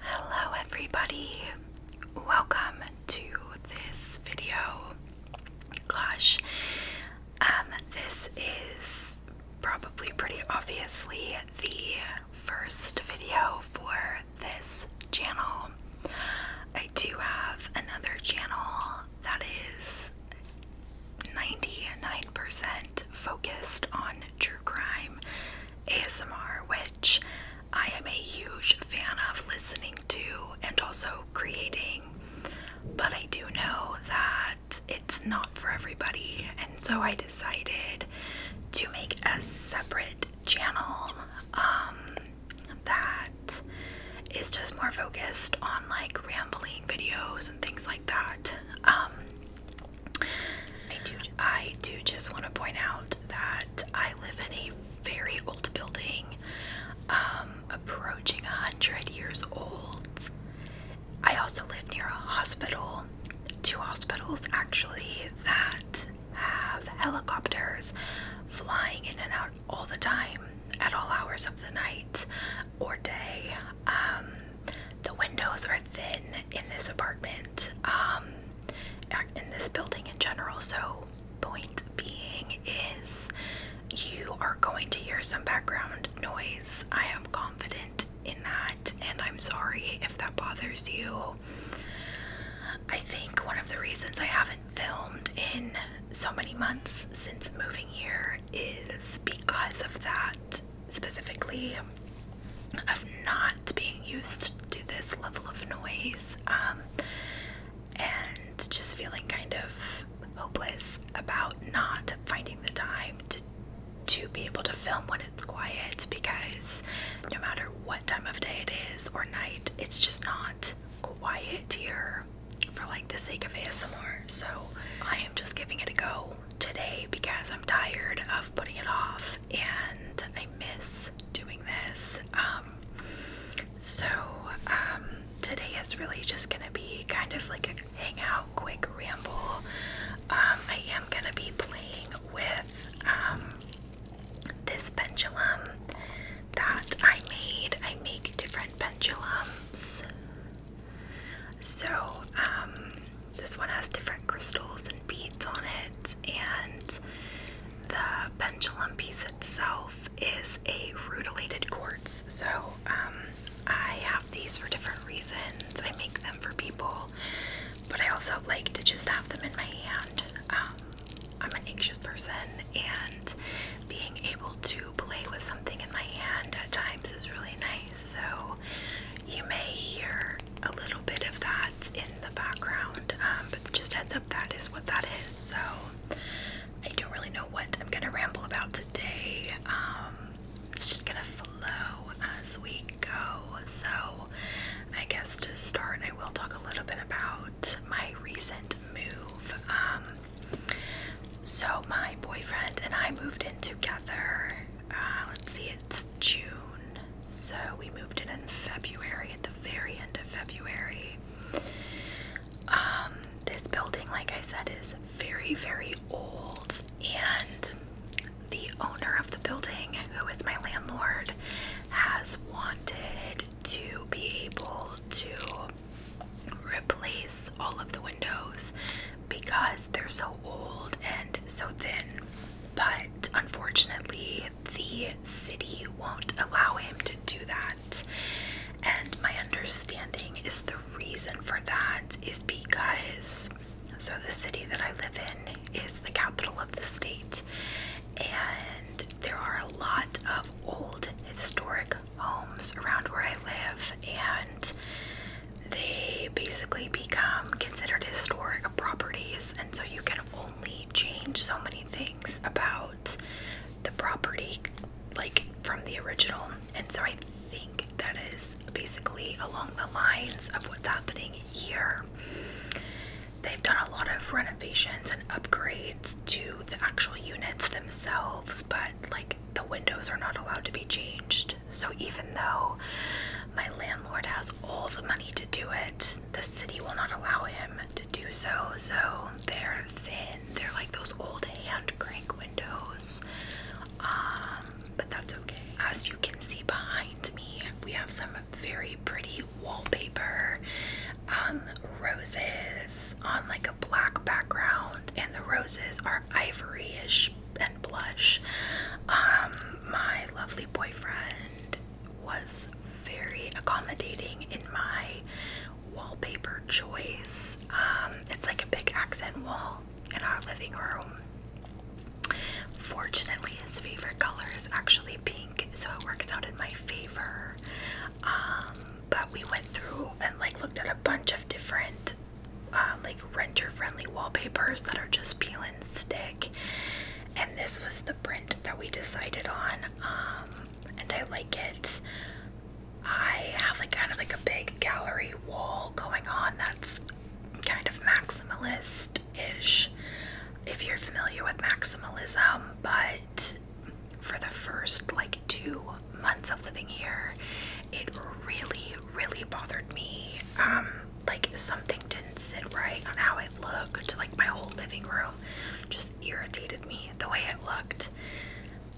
Hello, everybody. Welcome to this video. Gosh, um, this is probably pretty obviously the first video for this channel. I do have another channel that is 99% focused on true crime ASMR, which I am a huge fan of listening to and also creating. But I do know that it's not for everybody, and so I decided to make a separate channel um, that is just more focused on like rambling videos and things like that. Um, I do. I do just want to point out that I live in a very old building, um, approaching a hundred years old. I also live near a hospital, two hospitals actually that have helicopters flying in and out all the time at all hours of the night or day. Um, the windows are thin in this apartment, um, in this building in general. So, point being is you are going to hear some background noise. I am confident in that, and I'm sorry if that bothers you. I think one of the reasons I haven't filmed in so many months since moving here is because of that specifically of not being used to this level of noise um, and just feeling kind of hopeless about not finding the time to to be able to film when it's quiet because no matter what time of day it is or night it's just not quiet here for like the sake of ASMR so I am just giving it a go today because I'm tired of putting it off and I miss doing this. Um, so, um, today is really just gonna be kind of like a hangout, quick ramble. Um, I am gonna be playing with this pendulum that I made. I make different pendulums. So, um, this one has different crystals and beads on it, and the pendulum piece itself is a rutilated quartz. So, um, I have these for different reasons. I make them for people, but I also like to just have them in my hand. Um, I'm an anxious person, and being able to play with something in my hand at times is really nice. So, you may hear a little bit of that in the background, um, but just heads up that is what that is. So I don't really know what I'm gonna ramble about today. Um, it's just gonna flow as we go. So I guess to start, I will talk a little bit about my recent move. Um, so my boyfriend and I moved in together uh, let's see, it's June, so we moved in in February, at the very end of February. Um, this building, like I said, is very, very old, and the owner of the building, who is my landlord, has wanted to be able to replace all of the windows because they're so old and so thin. But unfortunately, the city won't allow him to do that. And my understanding is the reason for that is because so the city that I live in is the capital of the state, and there are a lot of old historic homes around where I live, and they basically become considered historic properties, and so you can only change so many things about the property, like from the original. And so I think that is basically along the lines of what's happening here. They've done a lot of renovations and upgrades to the actual units themselves, but like the windows are not allowed to be changed. So even though my landlord has all the money to do it, the city will not allow him to do so. So they're thin. They're like those old hand crank windows. Um, but that's okay. As you can see behind me, we have some very pretty wallpaper um, roses on like a black background, and the roses are more ivoryish and blush. Um, my lovely boyfriend was very accommodating in my wallpaper choice. Um, it's like a big accent wall in our living room. Fortunately, his favorite color is actually pink, so it works out in my favor. Um, but we went through and like looked at a bunch of different uh, like renter friendly wallpapers that are just peel and stick. And this was the print that we decided on. Um, and I like it. I have like kind of like a big gallery wall going on that's kind of maximalist ish, if you're familiar with maximalism. But for the first like two months of living here, it really, really bothered me. Um, like something didn't sit right on how it looked. Like my whole living room just irritated me the way it looked.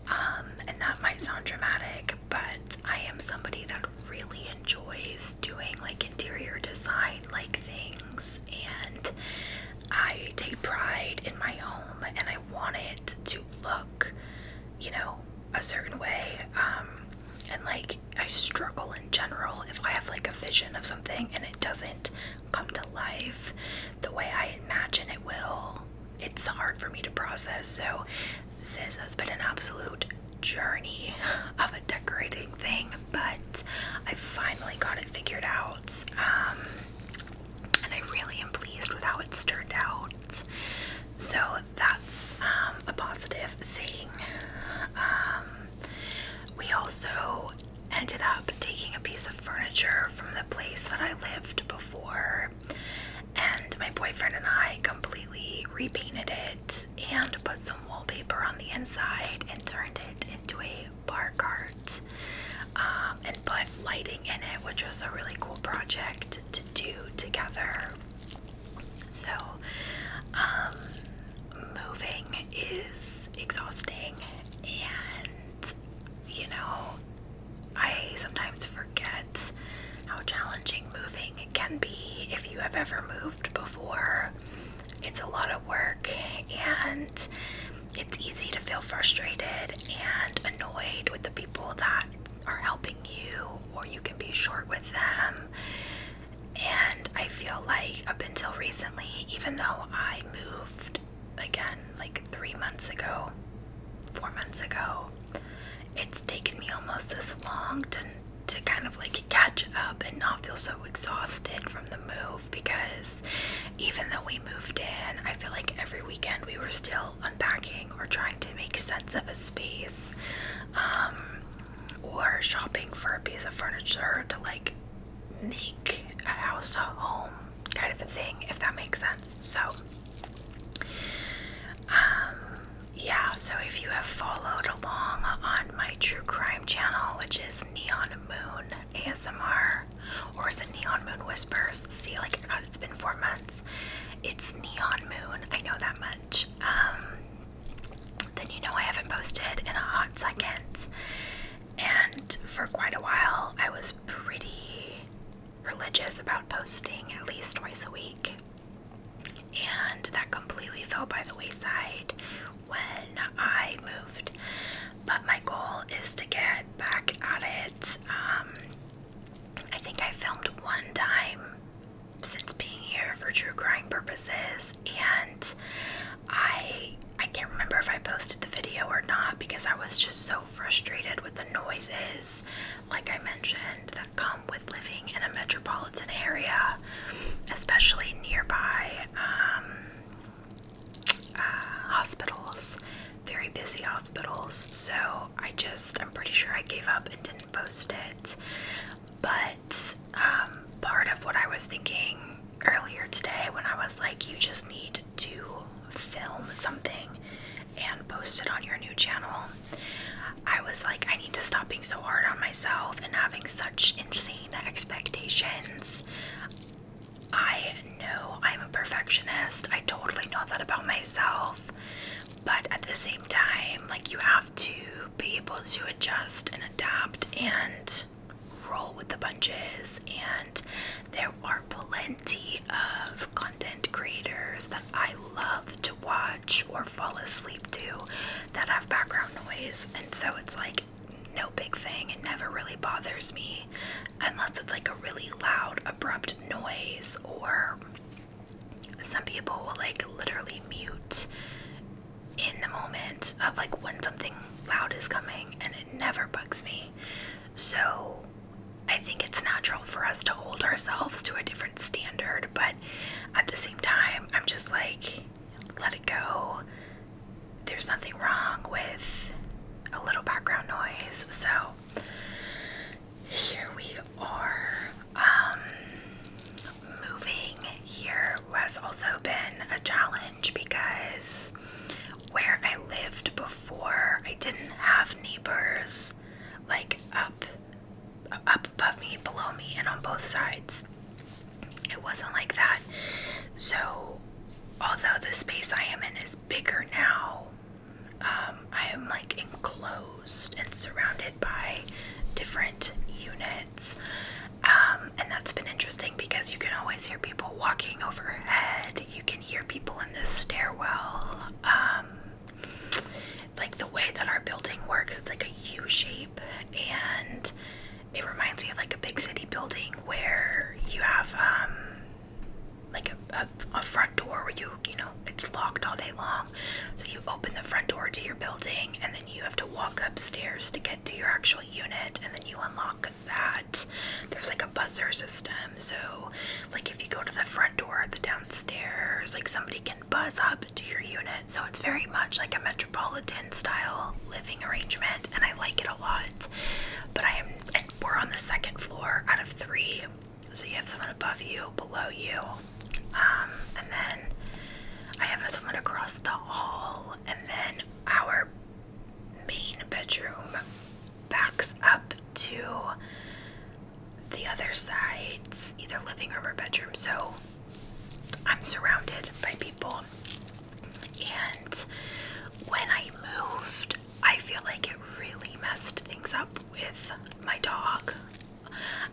Um, and that might sound dramatic, but I am somebody that really enjoys doing like interior design like things and I take pride in my home and I want it to look, you know, a certain way. Um, and like, I struggle in general if I have like a vision of something and it doesn't come to life the way I imagine it will. It's hard for me to process. So, this has been an absolute journey of a decorating thing, but I finally got it figured out. Um, and I really am pleased with how it's turned out. So that's um, a positive thing. Um, we also ended up taking a piece of furniture from the place that I lived before, and my boyfriend and I completely repainted it and put some wallpaper on the inside and turned it into a bar cart um, and put lighting in it, which was a really cool project to do together. So, um, moving is exhausting, and you know, I sometimes forget how challenging moving can be if you have ever moved before. It's a lot of work, and it's easy to feel frustrated and annoyed with the people that are helping you or you can be short with them. And I feel like up until recently, even though I moved again like three months ago, four months ago, it's taken me almost this long to to kind of like catch up and not feel so exhausted from the move because even though we moved in, I feel like every weekend we were still unpacking or trying to make sense of a space um, or shopping for a piece of furniture to like make a house a home kind of a thing, if that makes sense. So, um, yeah, so if you have followed along on my true crime channel, which is Neon Moon ASMR, or is it Neon Moon Whispers? See, like God, it's been four months. It's Neon Moon. I know that much. Um, then you know I haven't posted in a hot second, and for quite a while I was pretty religious about posting at least twice a week. And that completely fell by the wayside when I moved. But my goal is to get back at it. Um, I think I filmed one time since being here for true crying purposes and I I can't remember if I posted the video or not because I was just so frustrated with the noises like I mentioned that come with living in a metropolitan area especially nearby um, uh, hospitals very busy hospitals, so I just, I'm pretty sure I gave up and didn't post it. But um, part of what I was thinking earlier today when I was like, you just need to film something and post it on your new channel, I was like, I need to stop being so hard on myself and having such insane expectations. I know I'm a perfectionist. I totally know that about myself. But at the same time, like you have to be able to adjust and adapt and roll with the punches. And there are plenty of content creators that I love to watch or fall asleep to that have background noise. And so it's like no big thing. It never really bothers me unless it's like a really loud, abrupt noise, or some people will like literally mute in the moment of like when something loud is coming, and it never bugs me. So I think it's natural for us to hold ourselves to a different standard, but at the same time, I'm just like, let it go there's nothing wrong with a little background noise. So here we are. Um, moving here has also been a challenge because where I lived before, I didn't have neighbors like up, up above me, below me, and on both sides. It wasn't like that. So, although the space I am in is bigger now. Um, I am like enclosed and surrounded by different units. Um, and that's been interesting because you can always hear people walking overhead. You can hear people in this stairwell. Um, like the way that our building works, it's like a U shape, and it reminds me of like a big city building where you have um, like a, front door where you you know it's locked all day long so you open the front door to your building and then you have to walk upstairs to get to your actual unit and then you unlock that there's like a buzzer system so like if you go to the front door the downstairs like somebody can buzz up to your unit so it's very much like a metropolitan style living arrangement and i like it a lot but i am we're on the second floor out of three, so you have someone above you, below you, um, and then I have someone across the hall, and then our main bedroom backs up to the other side's either living room or bedroom, so I'm surrounded by people. And when I moved, I feel like it really messed things up with my dog.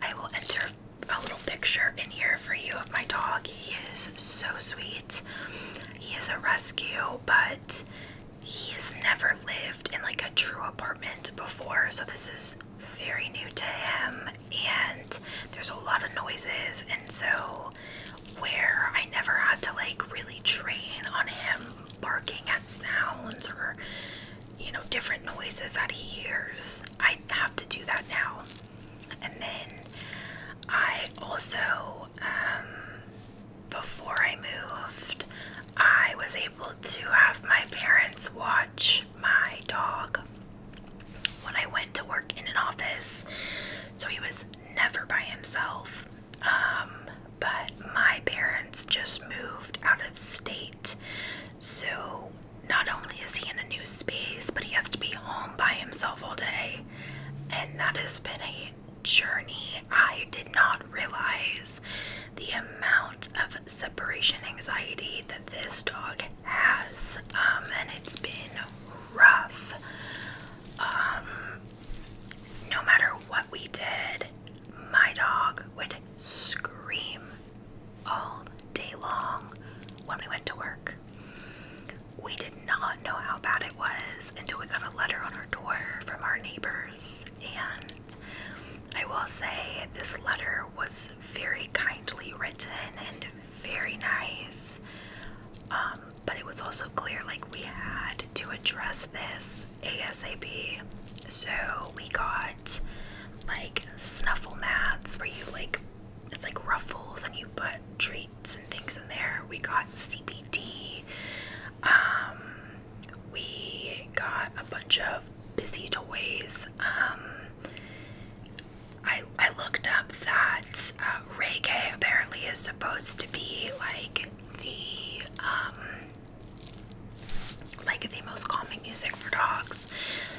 I will enter a little picture in here for you of my dog. He is so sweet. He is a rescue, but he has never lived in like a true apartment before, so this is very new to him and there's a lot of noises and so where I never had to like really train on him barking at sounds or you know different noises that he hears. I have to do that now. And then I also um, before I moved, I was able to have my parents watch my dog when I went to work in an office. So he was never by himself. Um, but my parents just moved out of state, so not only is he in a new space, but he has to be home by himself all day, and that has been a journey. I did not realize the amount of separation anxiety that this dog has, um, and it's been rough. Um, no matter what we did, my dog would scream all day long when we went to work. We did not know how bad it was until we got a letter on our door from our neighbors. And I will say, this letter was very kindly written and very nice. Um, but it was also clear like we had to address this ASAP. So we got like snuffle mats where you like it's like ruffles and you put treats and things in there. We got CBT. Um, we got a bunch of busy toys. Um, I I looked up that uh, reggae apparently is supposed to be like the um like the most calming music for dogs.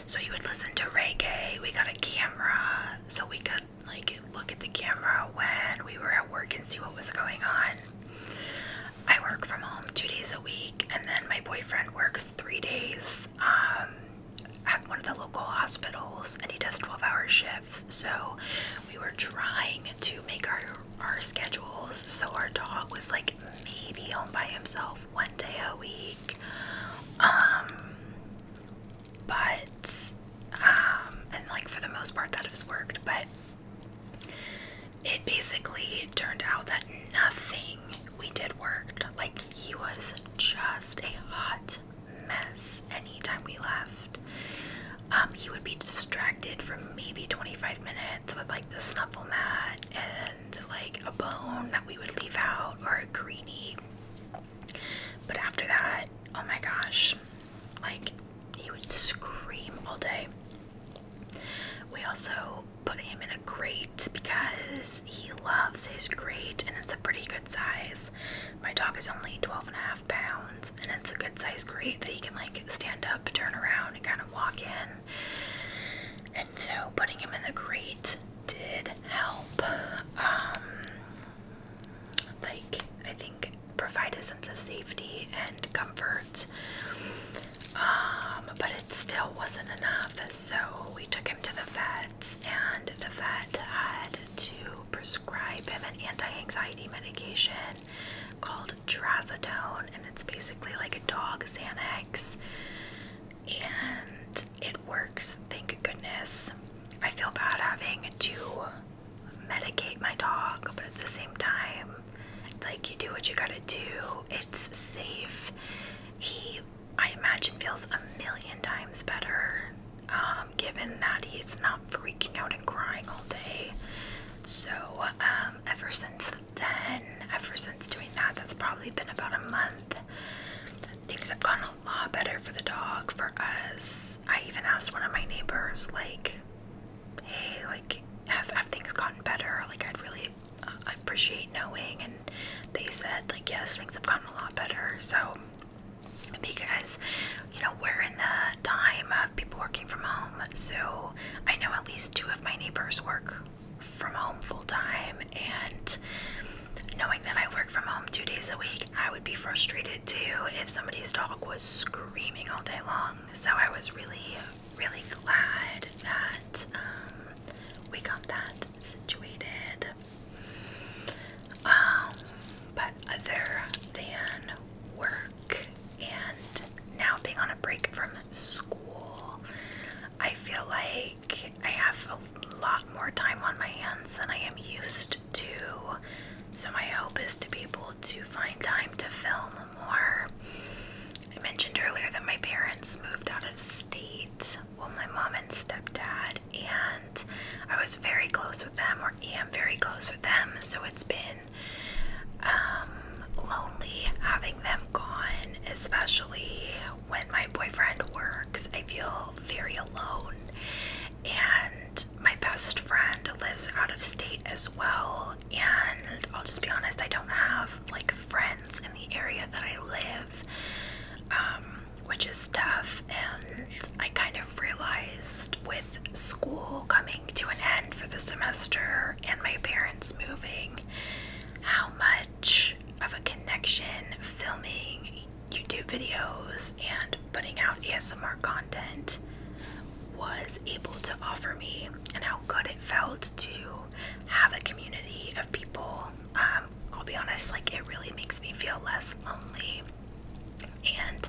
So you would listen to reggae. We got a camera so we could like look at the camera when we were at work and see what was going on. I work from home two days a week, and then my boyfriend works three days. Um, at one of the local hospitals and he does 12 hour shifts. So we were trying to make our, our schedules so our dog was like maybe home by himself one day a week. Um, but, um, and like for the most part that has worked, but it basically turned out that nothing we did worked. Like he was just a hot mess anytime we left. Um, he would be distracted for maybe 25 minutes with like the snuffle mat and like a bone that we would leave out or a greenie. But after that, oh my gosh, like he would scream all day. We also put him in a crate because he loves his crate and it's a pretty good size. My dog is only 12 and a half pounds, and it's a good size crate that he can like stand up, turn around, and kind of walk in. And so putting him in the crate did help. Um, like, I think provide a sense of safety and comfort. Um, but it still wasn't enough, so we took him to the vet and the vet had to prescribe him an anti-anxiety medication called trazodone, and it's basically like a dog Xanax, and it works. Thank goodness. I feel bad having to medicate my dog, but at the same time, it's like you do what you gotta do. It's safe. He I imagine feels a million times better, um, given that he's not freaking out and crying all day. So, um, ever since then, ever since doing that, that's probably been about a month. Things have gone a lot better for the dog, for us. I even asked one of my neighbors, like, hey, like, have, have things gotten better? Like, I'd really uh, appreciate knowing. And they said, like, yes, things have gotten a lot better. So, because you know we're in the time of people working from home. So I know at least two of my neighbors work from home full time, and knowing that I work from home two days a week, I would be frustrated too if somebody's dog was screaming all day long. So I was really, really glad that um, we got that situated. Um, but other than work and now being on a break from school, I feel like I have a lot more time on my hands than I am used to. So, my hope is to be able to find time to film more. I mentioned earlier that my parents moved out of state well, my mom and stepdad, and I was very close with them, or am very close with them. So it's been um, lonely having them gone, especially when my boyfriend works. I feel very alone, and my best friend lives out of state as well. And I'll just be honest, I don't have like friends in the area that I live. Um, which is tough. And I kind of realized with school coming to an end for the semester and my parents moving, how much of a connection filming YouTube videos and putting out ASMR content was able to offer me, and how good it felt to have a community of people um, I'll be honest, like it really makes me feel less lonely. And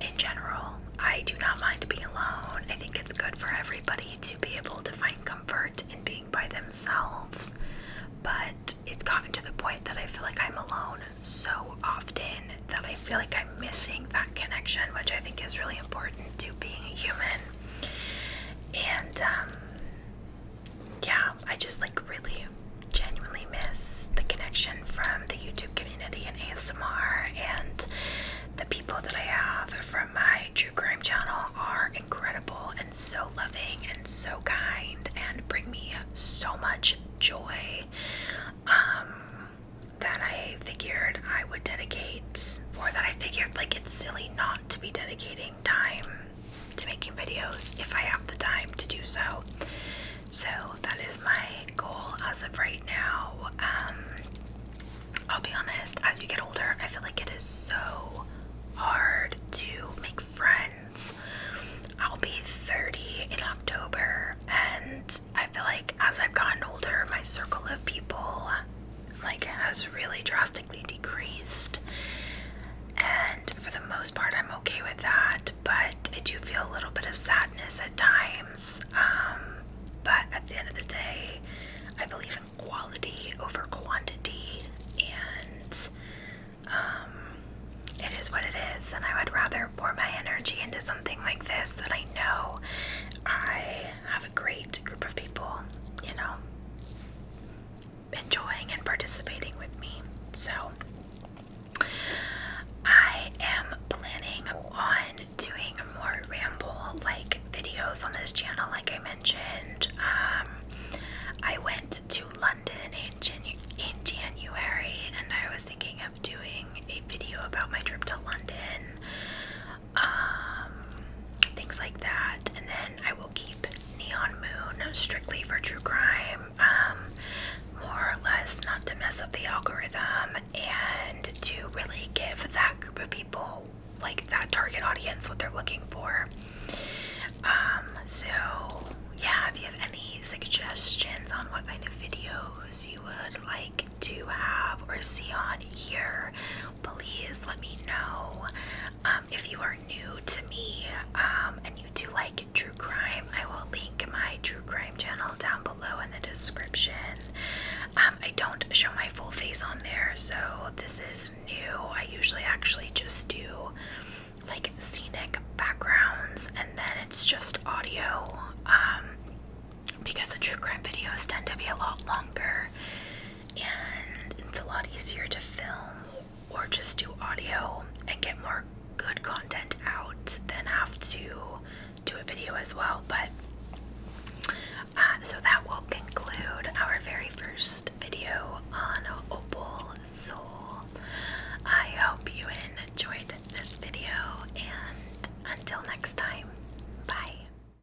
in general, I do not mind being alone. I think it's good for everybody to be able to find comfort in being by themselves. But it's gotten to the point that I feel like I'm alone so often that I feel like I'm missing that connection, which I think is really important to being a human. And um, yeah, I just like really genuinely miss the connection from the YouTube community and ASMR, and the people that I have from my true crime channel are incredible and so loving and so kind and bring me so much joy. Um, that I figured I would dedicate, or that I figured like it's silly not to be dedicating time to making videos if I have the time to do so. So that is my goal as of right now. Um, I'll be honest, as you get older, I feel like it is so hard to make friends. I'll be 30 in October, and I feel like as I've gotten older, my circle of people like has really drastically decreased. And for the most part, I'm okay with that, but I do feel a little bit of sadness at times. Um, but at the end of the day, I believe in quality over quantity, and um, it is what it is. And I would rather pour my energy into something like this that I know I have a great group of people, you know enjoying and participating with me. So, I am planning on doing more ramble like videos on this channel, like I mentioned. Um, I went to London in, in January and I was thinking of doing a video about my trip to London um, things like that. And then I will keep Neon Moon strictly for true crime, um, more or less not to mess up the algorithm and to really give that group of people, like that target audience, what they're looking for. Um, so yeah, if you have any suggestions on what kind of videos you would like to have or see on here, please let me know um, if you are new to me um, and you do like true crime. I will link my true crime channel down below in the description. Um, I don't show my full face on there, so this is new. I usually actually just do like scenic backgrounds and then it's just audio because the true crime videos tend to be a lot longer and it's a lot easier to film or just do audio and get more good content out than have to do a video as well. But uh, so that will conclude our very first video on Opal Soul. I hope you enjoyed this video, and until next time, bye.